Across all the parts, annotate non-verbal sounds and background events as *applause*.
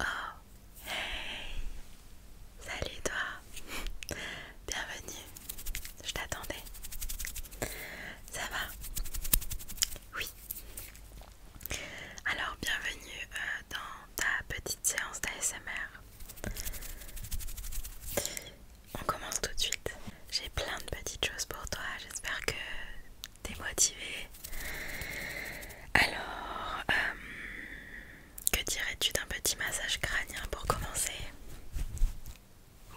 Oh, hey Salut toi Bienvenue Je t'attendais Ça va Oui Alors bienvenue euh, dans ta petite séance d'ASMR On commence tout de suite j'ai plein de petites choses pour toi, j'espère que t'es motivé. Alors, euh, que dirais-tu d'un petit massage crânien pour commencer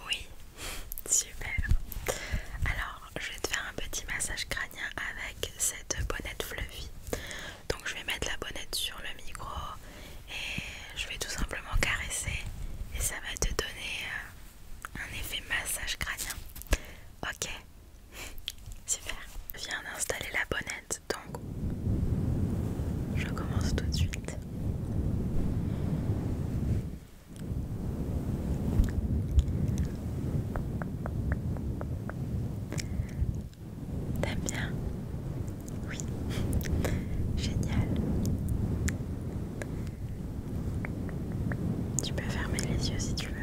Oui, *laughs* super. Alors, je vais te faire un petit massage crânien avec cette bonnette fluffy. Donc, je vais mettre la bonnette sur le micro et je vais tout simplement caresser et ça va te donner euh, un effet massage crânien. Ok, *laughs* super. Viens d'installer la bonnette, donc je commence tout de suite. T'aimes bien Oui. *laughs* Génial. Tu peux fermer les yeux si tu veux.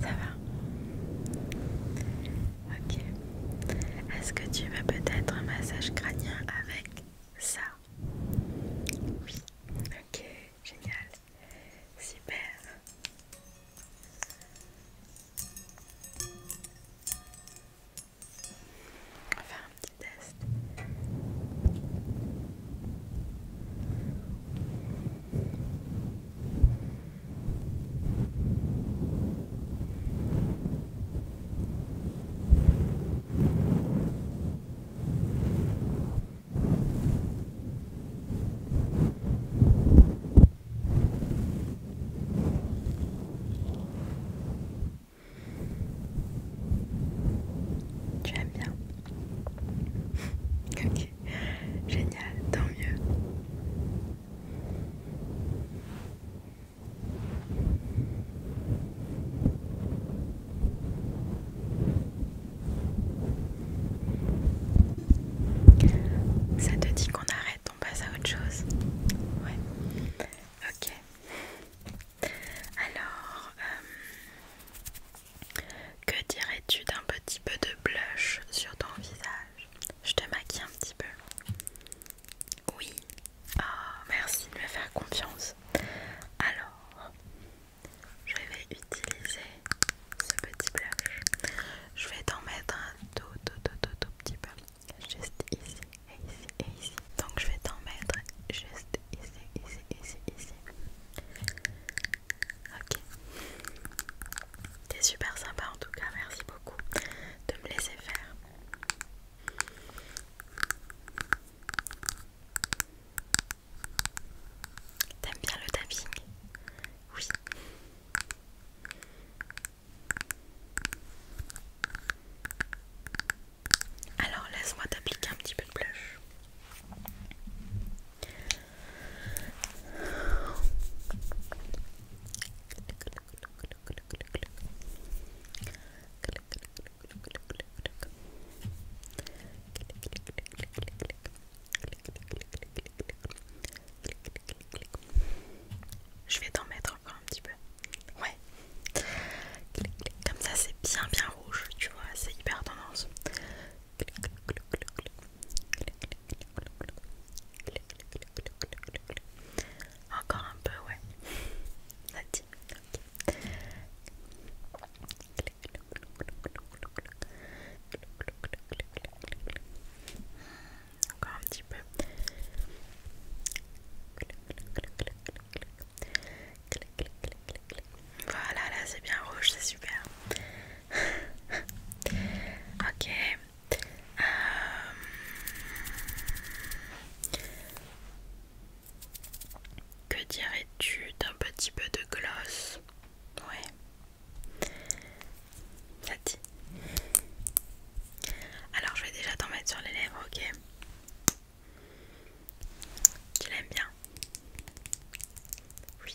Ça va Ok. Est-ce que tu veux peut-être un massage crânien avec ça Oui. Ok, génial. Super. On va faire un petit test. Tu aimes bien *laughs* Ok, génial, tant mieux. Ça te dit qu'on arrête, on passe à autre chose Ouais. Ok. Alors, euh, que dirais-tu d'un petit peu de blush sur ton visage je te maquille un petit peu. Oui. Ah merci de me faire confiance. Alors, je vais utiliser ce petit blush. Je vais t'en mettre un tout, tout, tout, tout, tout petit peu. Juste ici, et ici, et ici. Donc, je vais t'en mettre juste ici, ici, ici, ici. Ok. T'es super sympa en tout cas, merci beaucoup de me laisser faire. T'aimes bien le tapping Oui. Alors laisse-moi t'appliquer un petit peu de blush. Je vais t'en mettre encore un petit peu. Ouais. Comme ça c'est bien bien rouge, tu vois, c'est hyper tendance. Encore un peu, ouais. Encore un petit peu. Voilà, là c'est bien rouge, c'est super. *laughs* ok. Euh, que dirais-tu d'un petit peu de gloss Oui, Ça Alors je vais déjà t'en mettre sur les lèvres, ok Tu l'aimes bien Oui.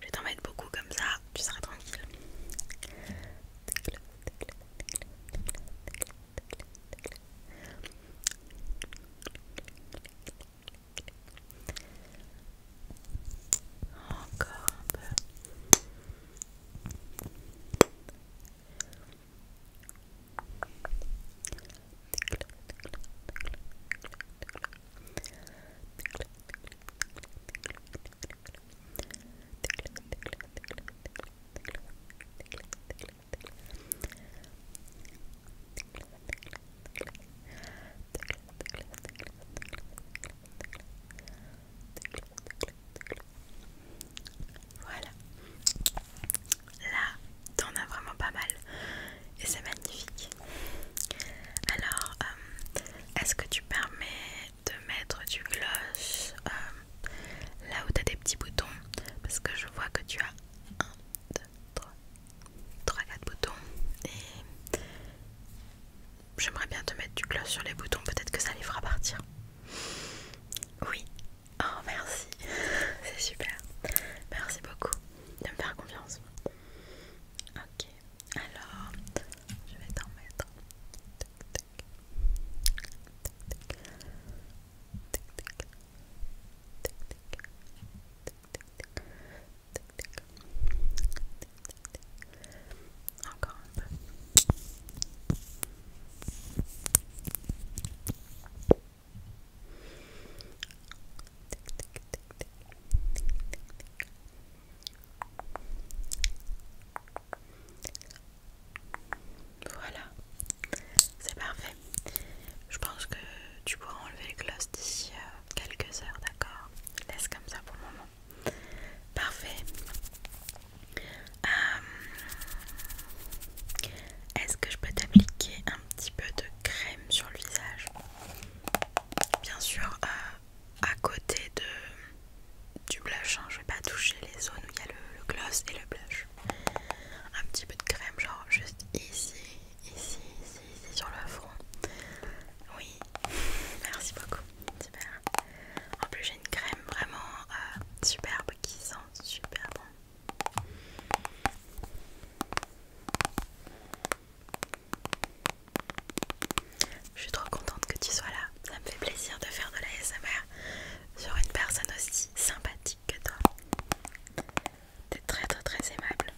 Je vais t'en beaucoup comme ça, tu seras tranquille. Encore un peu. Voilà. Là, t'en as vraiment pas mal et c'est magnifique. Alors, euh, est-ce que tu permets de mettre du gloss euh, là où tu as des petits boutons Parce que je vois que tu as 1, 2, 3, 3, 4 boutons et j'aimerais bien te mettre du gloss sur les boutons, peut-être que ça les fera partir. Oui, oh merci, *laughs* c'est super, merci beaucoup de me faire confiance. Ok, alors je vais t'en mettre. Encore un peu. Voilà, c'est parfait. Je pense que tu pourras enlever les glosses d'ici euh, quelques heures, d'accord Laisse comme ça pour le moment. Parfait. Euh, est-ce que je peux t'appliquer un petit peu de crème sur le visage bien sûr euh, à côté de, du blush, hein, je vais pas toucher les zones où il y a le, gloss et le blush. Un petit peu de crème, genre juste ici, ici, ici, ici sur le front. Oui, merci beaucoup, super. En plus j'ai une crème vraiment euh, superbe qui sent super bon. Je suis trop contente que tu sois là. Ça me fait plaisir de faire de la sur une personne aussi sympathique que toi. T'es très très très aimable.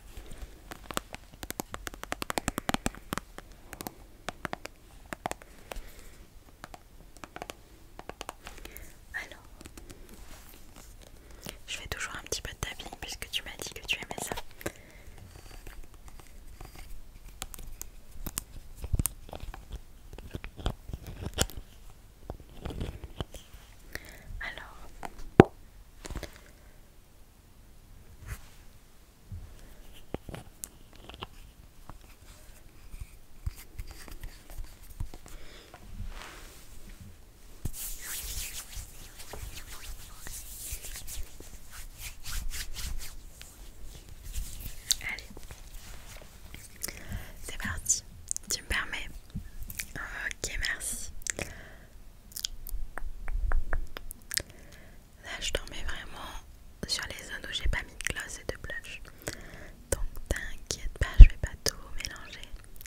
Alors, je fais toujours un petit peu de tapis puisque tu m'as dit que tu aimais ça. Alors, Allez, c'est parti. Tu me permets Ok, merci. Là, je dormais vraiment sur les zones où j'ai pas mis de gloss et de blush. Donc, t'inquiète pas, je vais pas tout mélanger.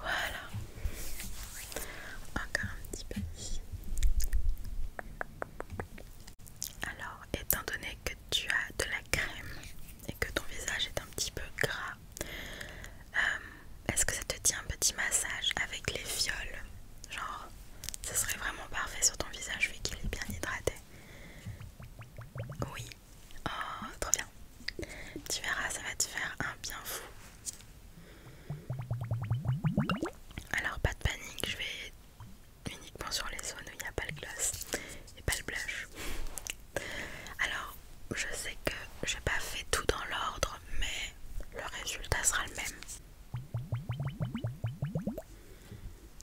Voilà. Encore un petit peu Alors, étant donné que tu as de la crème et que ton visage est un petit peu gras, euh, est-ce que ça te dit un petit massage avec les fioles Genre, ça serait vraiment parfait sur ton visage vu qu'il est bien hydraté. Oui, Oh, trop bien. Tu verras, ça va te faire un bien fou. Alors, pas de panique, je vais uniquement sur les zones où il n'y a pas le gloss et pas le blush. Alors, je sais que j'ai pas fait tout dans l'ordre, mais le résultat sera le même.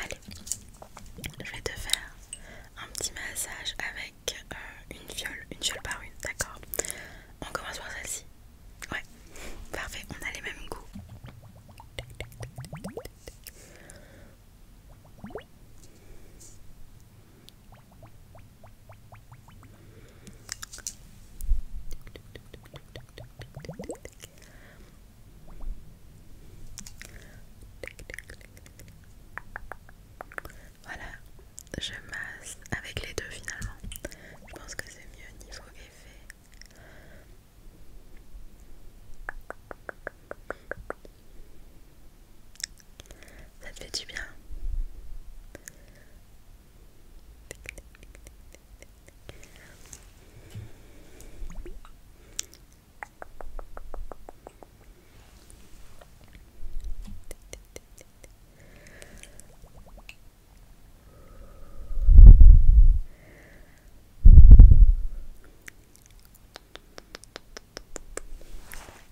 Allez, je vais te faire un petit massage avec euh, une fiole, une fiole par une, d'accord On commence par celle-ci. Ouais, parfait, on a les mêmes goûts. Voilà, je masse avec les deux finalement. Je pense que c'est mieux niveau effet. Ça te fait du bien.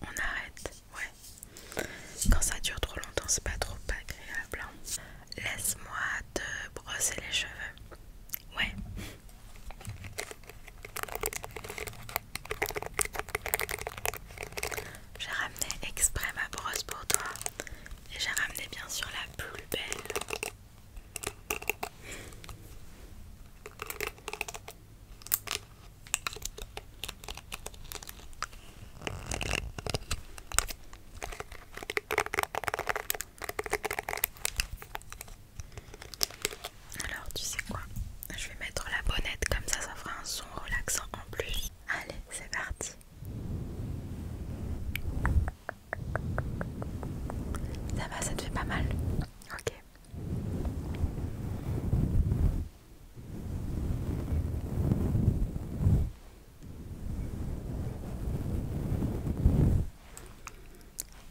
On arrête, ouais. Quand ça dure trop longtemps, c'est pas trop agréable. Hein. Laisse-moi te brosser les cheveux. Ouais. J'ai ramené exprès ma brosse pour toi et j'ai ramené bien sûr la plus belle. Alors tu sais quoi Je vais mettre la bonnette comme ça ça fera un son relaxant en plus. Allez c'est parti. Ça va, ça te fait pas mal Ok.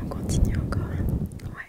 On continue encore, ouais.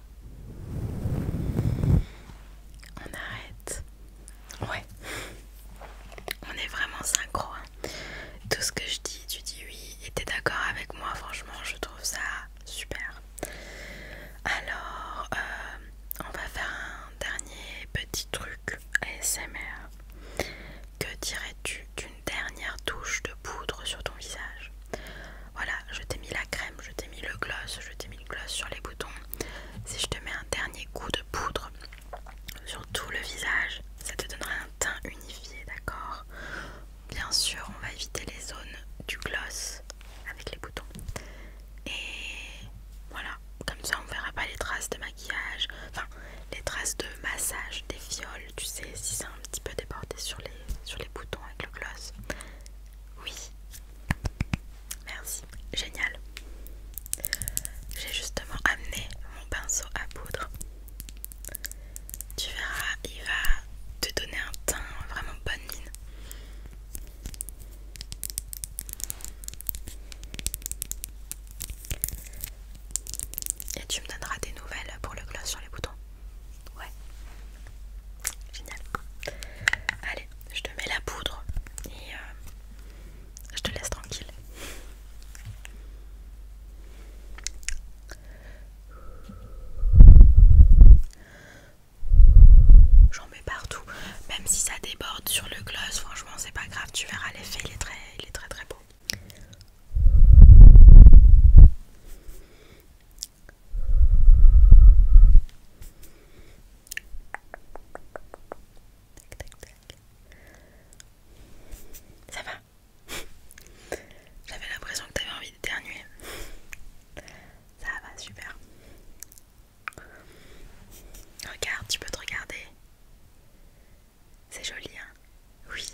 On arrête. Ouais. On est vraiment synchro. Hein. Tout ce que je dis, tu dis oui. Et t'es d'accord avec moi, franchement, je trouve ça super. Alors, euh, on va faire un dernier petit truc ASMR. Que dirais-tu d'une dernière touche de poudre sur ton visage voilà, je t'ai mis la crème, je t'ai mis le gloss, je t'ai mis le gloss sur les boutons. Si je te mets un dernier coup de poudre sur tout le visage, ça te donnera un teint unifié, d'accord Bien sûr, on va éviter les zones du gloss avec les boutons. Et voilà, comme ça on verra pas les traces de maquillage, enfin les traces de massage, des fioles, tu sais, si c'est un petit peu déporté sur les, sur les boutons avec le gloss. Oui. Merci. Génial. J'ai justement amené mon pinceau à poudre. Tu verras, il va te donner un teint vraiment bonne mine. Et tu me donneras des nouvelles pour le gloss sur les boutons. Ouais. Génial. Allez, je te mets la poudre et euh, je te laisse tranquille. J'en mets partout, même si ça déborde sur le gloss, franchement c'est pas grave, tu verras l'effet, très il est très très beau. Ça va J'avais l'impression que t'avais envie d'éternuer. Ça va, super. Regarde, tu peux te regarder. C'est joli, hein Oui.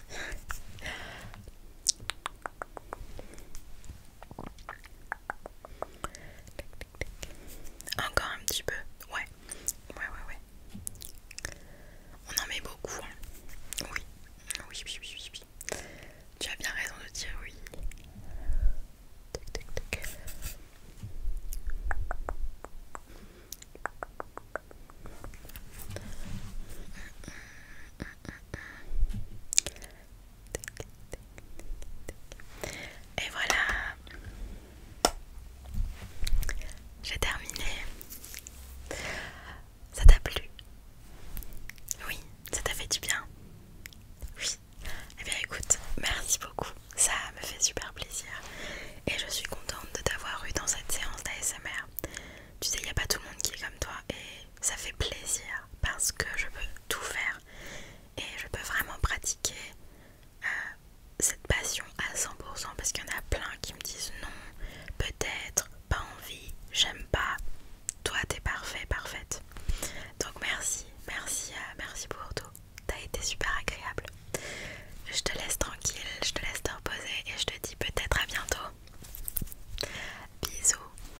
Encore un petit peu. Ouais. Ouais, ouais, ouais. On en met beaucoup. Hein. Oui. Oui, oui, oui, oui, Tu as bien raison de dire oui. Tic, tic, tic. Mm, mm, mm, et voilà, j'ai terminé. Ça t'a plu Oui, ça t'a fait du bien Oui. Eh bien écoute, merci beaucoup. Ça me fait super plaisir. Et je suis contente de t'avoir eu dans cette séance d'ASMR. Tu sais, il n'y a pas tout le monde qui est comme toi. Et ça fait plaisir parce que je peux tout faire et je peux vraiment pratiquer euh, cette passion à 100% parce qu'il y en a plein qui me disent non, peut-être, pas envie, j'aime pas. Toi, t'es parfait, parfaite. Donc merci, merci, euh, merci pour tout. T'as été super agréable. Je te laisse tranquille, je te laisse te reposer et je te dis peut-être à bientôt. Bisous,